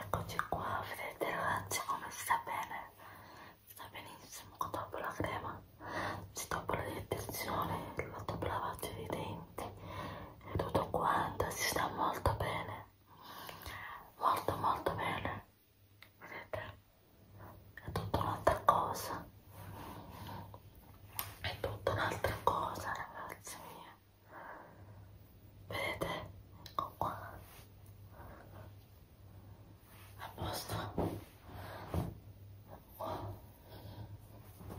Eccoci qua, vedete ragazzi come sta bene? Sta benissimo dopo la crema, dopo la detenzione, dopo la lavaggio dei denti e tutto quanto, si sta molto bene, molto molto bene, vedete? È tutta un'altra cosa, è tutta un'altra cosa ragazzi miei vedete ecco qua a posto oh.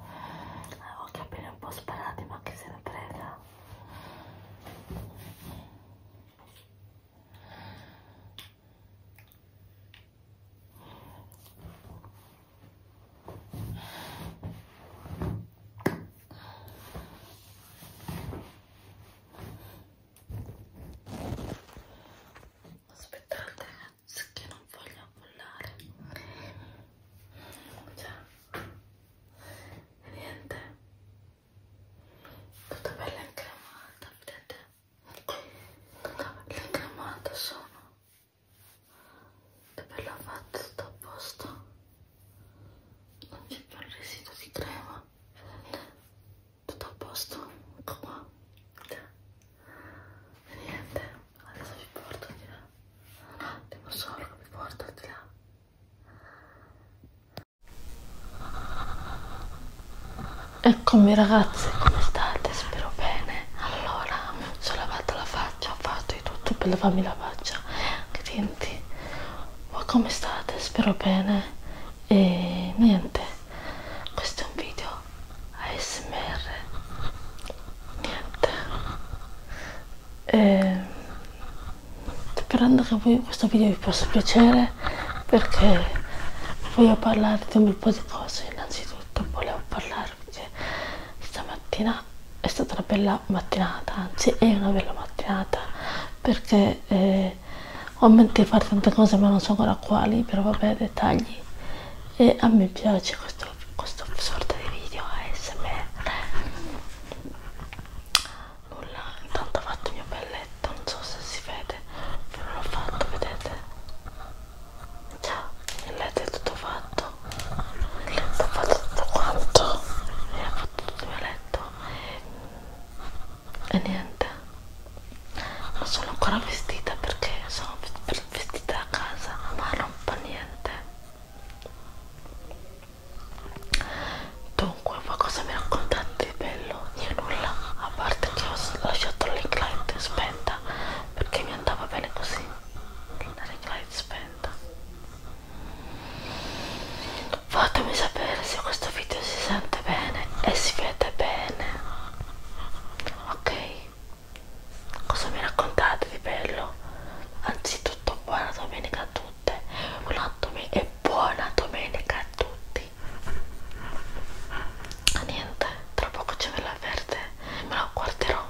ho gli capelli un po' sparati ma che se ne frega Aspettate ragazzi che non voglio ammollare. Cioè, niente. Tutta bella incremata, vedete? Tutta bella incremata sono. Che bella fatta, sto a posto non c'è più il residuo di crema tutto a posto ecco qua e niente adesso vi porto di là un attimo solo vi porto di là Eccomi ragazzi, come state? Spero bene. Allora, mi sono lavato la faccia, ho fatto di tutto per lavarmi la faccia anche i denti ma come state? spero bene e niente questo è un video ASMR niente e, ehm, sperando che voi, questo video vi possa piacere perché voglio parlare di un bel po' di cose innanzitutto volevo parlarvi che stamattina mattina è stata una bella mattinata, anzi è una bella mattinata perché eh, ho in mente di fare tante cose ma non so ancora quali, però vabbè dettagli e a me piace questo, questo sorta di video ASMR nulla, intanto ho fatto il mio belletto, non so se si vede però l'ho fatto, vedete? il letto è tutto fatto ho fatto tutto quanto ho fatto tutto il mio letto e niente non sono ancora vestita perché sono vestita a casa ma non fa niente dunque ma cosa mi raccontate di bello? io nulla a parte che ho lasciato la ring light spenta perché mi andava bene così la ring light spenta Fatemi sapere se questo video si sente bene e si vede bene. Ok? Cosa mi raccontate di bello? Anzitutto buona domenica a tutte. Buona domenica e buona domenica a tutti. Niente, tra poco c'è ve la verde, me la guarderò.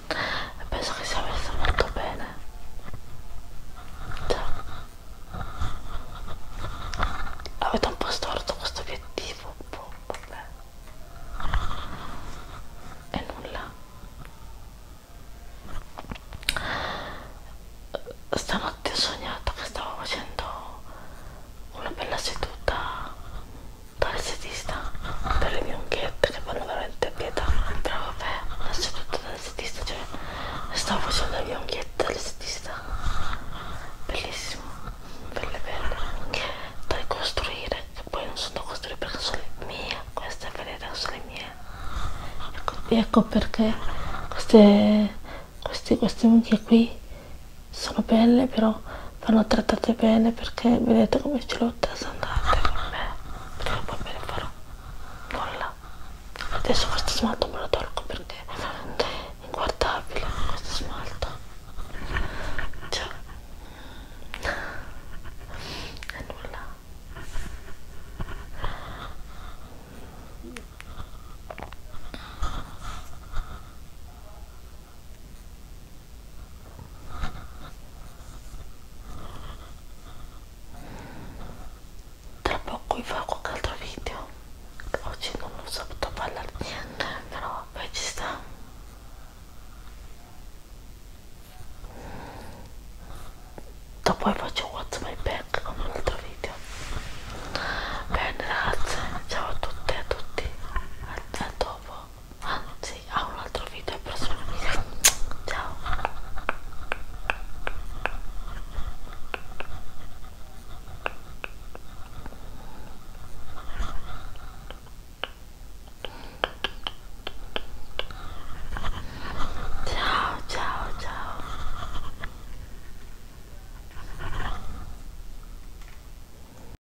e penso che sia messa molto bene cioè, avete un po' storto questo obiettivo boh, vabbè e nulla stanotte ho sognato che stavo facendo una bella seduta dall'estetista per le bianchette che fanno veramente pietà però vabbè non c'è tutto dall'estetista cioè stavo facendo le bianchette dall'estetista bellissimo belle belle da ricostruire che poi non sono da costruire perché sono le mie queste vedete sono le mie ecco, ecco perché queste queste, queste unghie qui sono belle però vanno trattate bene perché vedete come ce l'ho trasandate con me perché poi me ne farò nulla adesso questo smalto me lo tolgo perché è inguardabile questo smalto cioè è nulla tra poco vi farò qualche altro video oggi non ho saputo parlare niente però vabbè ci sta dopo faccio what's my back con un altro video bene ragazze ciao a tutte e a tutti a, a dopo Ah, sì, a un altro video e prossimo video. Ciao. Ciao, ciao, ciao.